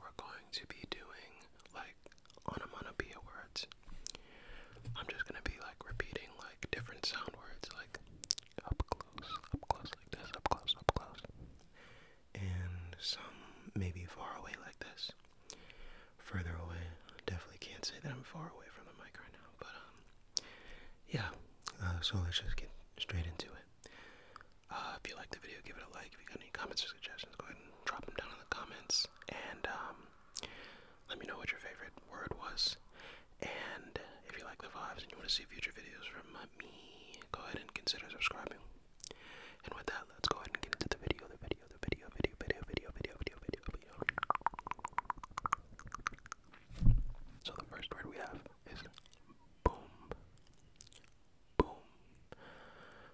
we're going to be doing like onomatopoeia words. I'm just gonna be like repeating like different sound words, like up close, up close, like this, up close, up close, and some maybe far away, like this. Further away, definitely can't say that I'm far away from the mic right now, but um, yeah. Uh, so let's just get straight into it. Uh, if you like the video, give it a like. If you got any comments or suggestions, go ahead drop them down in the comments and um, let me know what your favorite word was. And if you like the vibes and you want to see future videos from uh, me, go ahead and consider subscribing. And with that, let's go ahead and get into the video, the video, the video, video, video, video, video, video, video, video. So the first word we have is boom. Boom.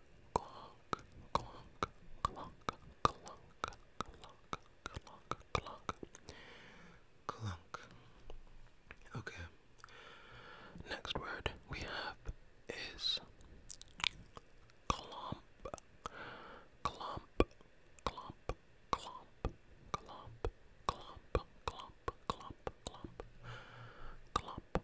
clunk, clunk, clunk, clunk, clunk, clunk, clunk, clunk. Okay. Next word we have is clump, clump, clump, clump, clump, clump, clump, clump, clump, clump,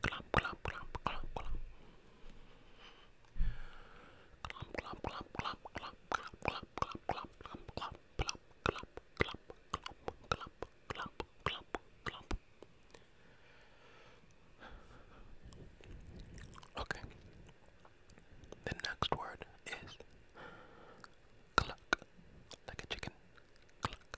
Clump, clump, clump, clump, clump. Clump, clump, clump, clump, clump, clump, clump, clump, clump, clump, clump, clump, clump, clump, clump, clump, clump, clump. Okay. The next word is cluck, like a chicken. Cluck,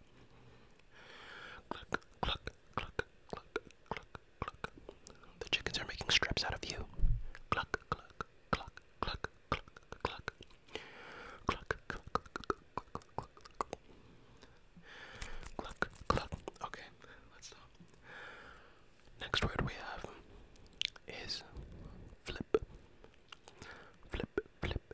Cluck, cluck, cluck, cluck, cluck, cluck. The chickens are making strips out of you. Cluck, cluck, cluck, cluck, cluck, cluck. Cluck, cluck, cluck, cluck, cluck, cluck. Cluck, cluck. Okay, let's stop. Next word we have is flip. Flip, flip,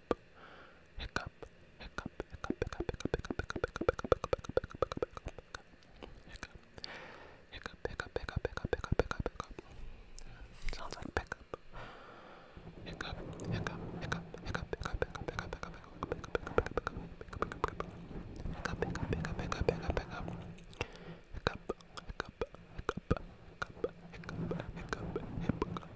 hiccup, hiccup, hiccup, hiccup, hiccup, hiccup, hiccup, hiccup, hiccup, hiccup, hiccup, Sounds like pickup. Hiccup, hiccup, hiccup, hiccup, hiccup, hiccup, hiccup, hiccup, hiccup, hiccup, hiccup, hiccup, hiccup,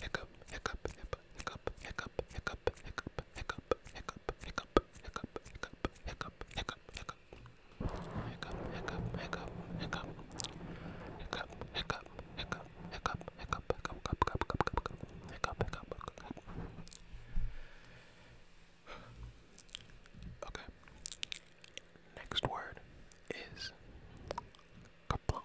hiccup, hiccup, hiccup, hiccup, hiccup, hiccup, hiccup, hiccup, hiccup, hiccup, hiccup, hiccup, hiccup, hiccup, hiccup. Hiccup, hiccup, hiccup, hiccup. Hiccup, hiccup, hiccup, hiccup, hiccup, hiccup, hiccup, hiccup, hiccup, hiccup, hiccup. Okay. Next word is kaplunk.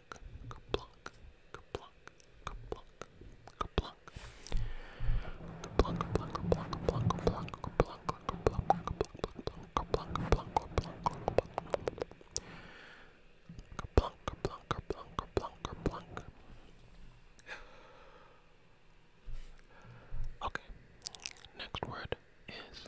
Kaplunk, kaplunk, kaplunk, kaplunk, kaplunk. Kaplunk, kaplunk, kaplunk, kaplunk, kaplunk, kaplunk, kaplunk, kaplunk, kaplunk, kaplunk, kaplunk, kaplunk. Kaplunk, kaplunk, kaplunk, kaplunk, kaplunk. Okay, next word is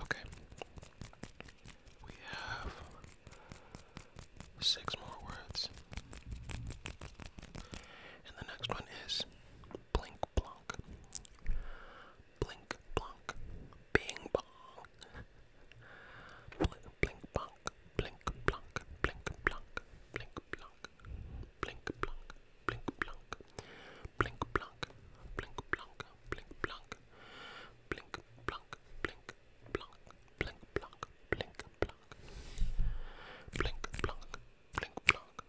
Okay. We have six more words. And the next one is Blink Blunk. Blink Blunk. Bing Bong. Blink Blink Blunk. Blink Blunk. Blink Blunk. Blink Blunk. Blink Blunk. Blink Blunk. Blink Blunk. Blink Blunk. Blink Blunk. Blink Blunk. Blink Blunk. Blink Blunk. Blink Blunk. Blink Blunk. Blink Blunk.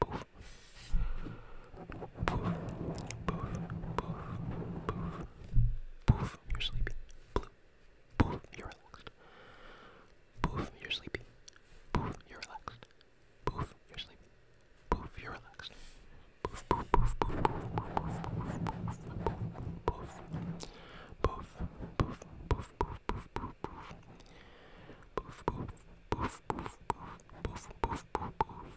boof, Poof. Poof. Poof. Poof. You're sleepy. Blue. Poof. You're relaxed. Poof. You're sleepy. Poof. You're relaxed. Poof. You're sleepy. Poof. You're relaxed. Poof. Poof. Poof. Poof. Poof. Poof. Poof. Poof. Poof. Poof. Poof. Poof. Poof. Poof. Poof, poof, poof, poof, poof, poof, poof, poof, poof,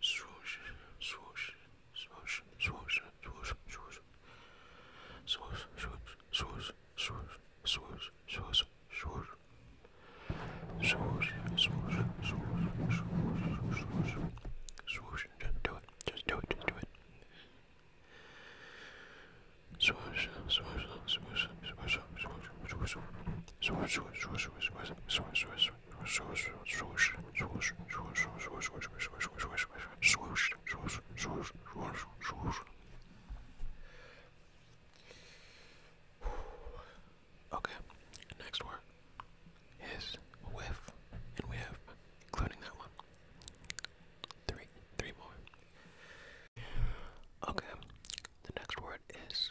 swoosh, swoosh, swoosh, swoosh, swoosh, swoosh, swoosh, swoosh, swoosh, swoosh, swoosh, swoosh, swoosh, swoosh, swoosh, swoosh, swoosh, swoosh. Just do it. Just do it. Just do it. Swoosh, swoosh, swoosh, swoosh, swoosh, swoosh, swoosh, swoosh, swoosh, swoosh, swoosh, swoosh. swoosh, swoosh, swoosh, swoosh, swoosh, swoosh, swoosh, swoosh, swoosh, swoosh, swoosh, swoosh, swoosh. Okay, next word is whiff, and we have, including that one, three, three more. Okay, the next word is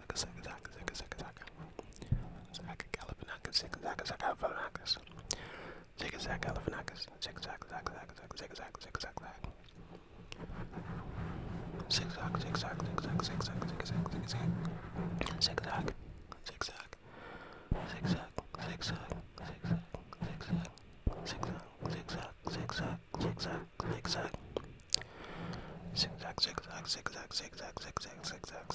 zigzag zigzag zigzag zigzag zigzag zigzag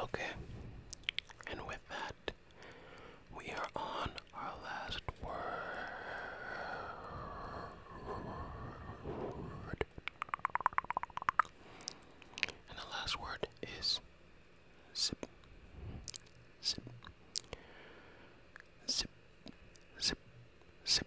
Okay, and with that, we are on our last word. And the last word is zip, zip, zip, zip, zip,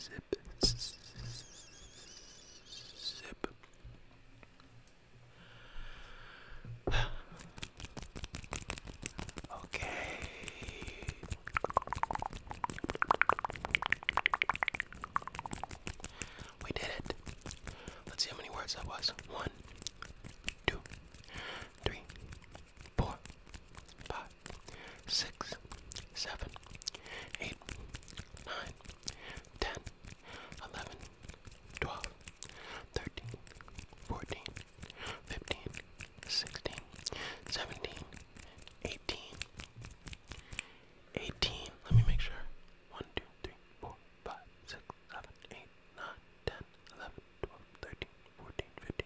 zip, zip. Okay. We did it. Let's see how many words that was. One, two, three, four, five, six, seven, eight, nine, ten, eleven, twelve, thirteen, fourteen, fifteen, sixteen, seventeen, eighteen, eighteen. Let me make sure. One, two, three, four, five, six, seven, eight, nine, ten, eleven, twelve, thirteen, fourteen, fifteen.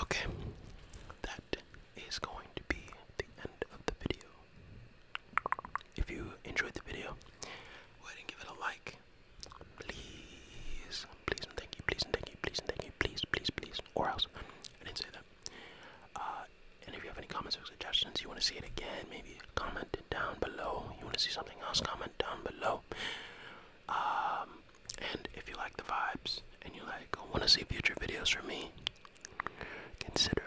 Okay, that is going to be the end of the video. If you enjoyed the video, go ahead and give it a like. Please, please and thank you, please and thank you, please and thank you, please, please, please, or else. I not say that. Uh, and if you have any comments or suggestions, you want to see it again, maybe comment down below. You want to see something else, comment down below. Um, and if you like the vibes and you like want to see future videos from me, consider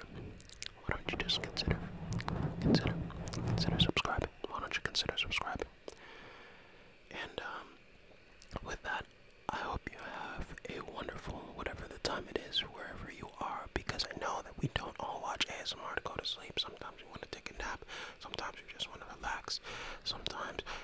why don't you just consider consider consider subscribing? Why don't you consider subscribing? And um, with that, I hope you have a wonderful whatever the time it is wherever you are because I know that we don't all watch ASMR to go to sleep. Sometimes we want to take a nap. Sometimes you just want to relax. Sometimes